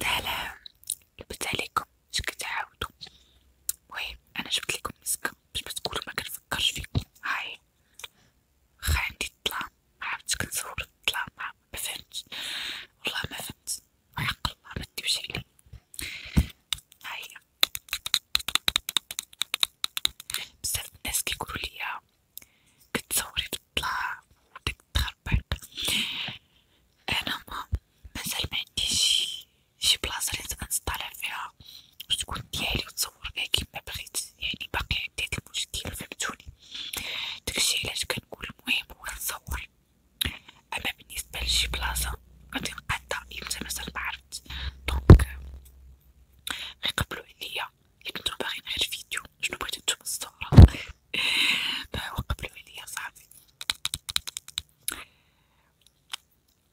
تالا لبت عليكم باش كتعاودو وي انا جبت لكم مسكه باش بتقولوا ما كنفكرش فيكم هاي خا عندي الظلام عرفت كنصور الظلام ما فهمتش والله ما فهمت ويحق الله ما تديوش علي هاي بزاف الناس كيقولوا ليا كتصوري تطلع ودك تخربط انا ما مازال ما عنديش شي, شي بلاصه اللي تنصطلع فيها وتكون ديالي وتصور بها كيما بغيت يعني باقي عندي هاد المشكل فهمتوني داكشي علاش كنقول المهم هو نصور اما بالنسبه لشي بلاصه غادي نقطع امتى مازال معرفت دونك غيقبلو عليا اللي كنتو باغيين غير فيديو شنو بغيتو نتوما الصورة وقف له عليا صاحبي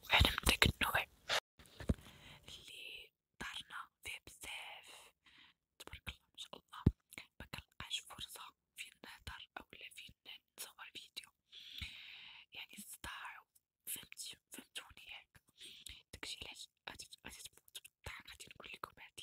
وانا من داك النوع اللي دارنا فيه بزاف تبارك الله ما شاء الله مكنلقاش فرصة فين نهضر اولا فين نتصور فيديو يعني استطاعو فهمتوني ياك داكشي علاش غادي تموت بالضحك غادي طيب، نقولكم هاد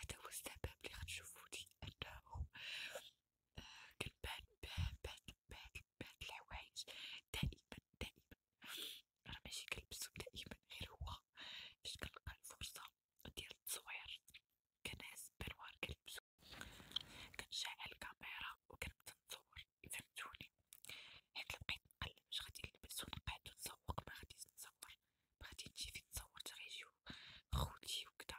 هذا هو السبب اللي غتشوفوني انه كنبان بان بان بان بان الحوايج دائما دائما راه ماشي كنلبسو دائما غير هو فاش كنلقى الفرصة ديال التصوير كنهز بانوار كنلبسو كنشعل الكاميرا و كنبدا نصور فهمتوني حيت لبقيت نقلب واش غادي نلبس و نقعد و نسوق مغاديش نصور مغادي نجي فين صورت غيجيو خوتي و كدا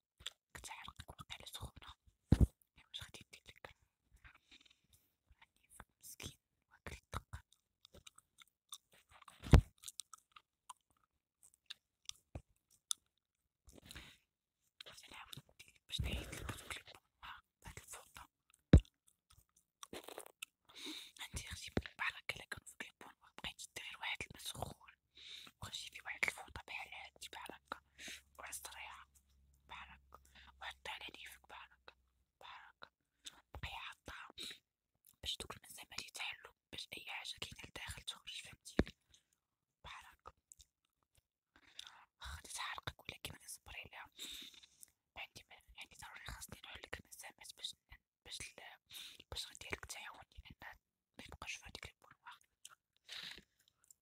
كتحرقك واقيلا سخونة إوا واش غادي مسكين واكل الدقة باش نعاود ندير باش نعيدلك دوك لي بوما الفوطة عندي غتيبان البحر هاكا إلا كانو دير واحد الما سخون الصور وكلشي فيه واحد الفوطة بحال هادي بحال هكا واحد الصريعة بحال هكا وحطها على ليفك بحال هكا بحال هكا بقاي حاطها باش دوك المسامات يتحلو باش أي حاجة كاينة لداخل تخرج فهمتيني بحال هكا غادي تحرقك ولكن غادي نصبر عليها عندي يعني ضروري خاصني نحلك المسامات باش باش باش غندير لك تعاون لأن ميبقاش في هاديك البولواغ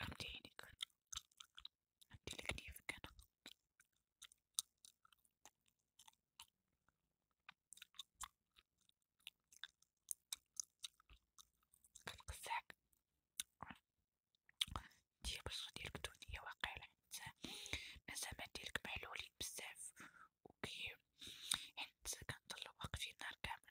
غمدي عينيك غنديرلك نيفك أنا كتقزعك نتيا البشرة ديالك دهنية واقيلا حيت المسامات ديالك محلولين بزاف وكي حيت كنضل واقفين نهار كامل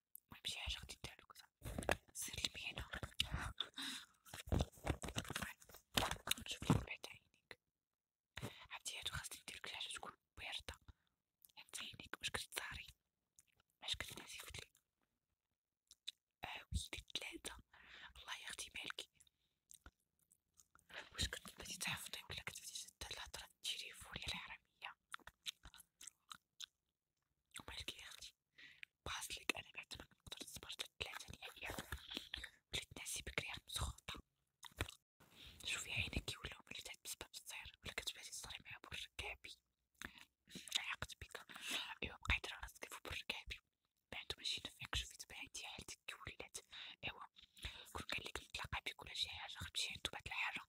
المهم شي حاجة غادي دير لك سير لي من هنا شوف لي بعد عينيك عرفتي هادو خاصني ندير لك شي حاجة تكون باردة حتى عينيك باش كتضاري باش كتنعسي في الليل آه، ويلي تلاتة الله ياخدي بالك واش كنت بديتي تحفظي طيب، ولا كنت بديتي تهضري الهضرة التليفونية الحرامية ومالك يا اختي بحصلك انا بعد ما نقدر نصبر للثلاثة ديال الايام وليت ناسي بكري مسخوطة شوفي عينك ولاو مليتات بسبب الصير ولا كتباتي تصري معايا برج كعبي عقد بك ايوا بقيت راه راسك برج كعبي بعدو ماشي نفعك شوفي دابا حالتك كي ولات ايوا كون قالك نتلاقى بك ولا شي حاجة غتمشي عندو بعد الحارة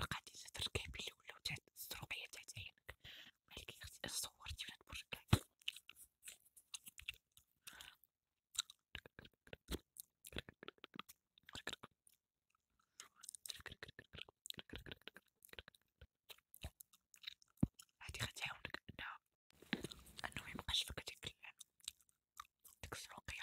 القضية تركب اللي ولاو تاع السروقية تاعت عينك مالك اختي اش صورتي وانا نبرك عليك هادي غتعاونك انها انه ميبقاش فيك ديك ديك السروقية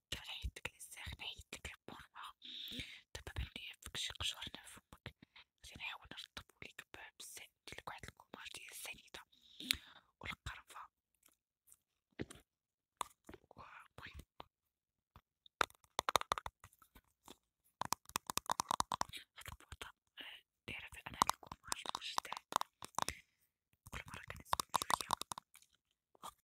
حتى ريحتك للساخنة هيتلك البرمة دابا بانولي فكشي قشرنا فمك غادي نحاول نرطبو ليك بالسائل نديرلك واحد الكوماج ديال السنيدة و القرفة و المهم هاد البوطة دايرة في أنا الكوماج مجدد كل مرة كنزيدو شوية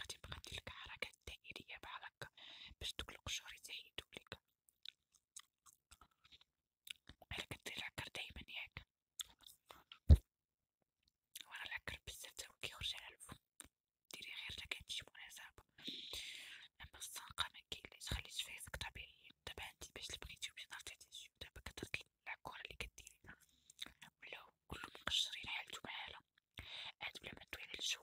غادي تبقى دير لك حركات دائريه بحال هكا باش دوك القشور يزيدو لك الا كدير العكر دايما ياك ورا العكر بزاف تا هو كيخرج على الفم ديري غير تا كتجيب مناسبه اما الصنقه مكاينلاش خلي شفايفك طبيعيين دابا انت باش اللي بغيتي باش نعرفتي تجي دابا كترد العكوره اللي كديري ولاو كلهم مقشرين حالتو بحالها عاد بلا ما دوي على الجو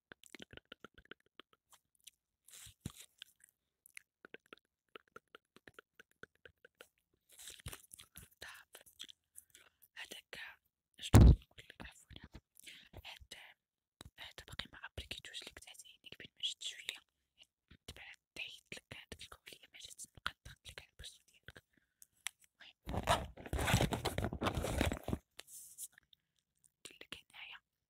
تعب هداك شنو نقولك عفوا هاد هدا باقي ما ابليكيتوش ليك تحت عينيك بين ما جات شويه تبعت تعيطلك هاديك الكوليه ما جات نبقى نضغطلك على البوستو ديالك المهم نديرلك هنايا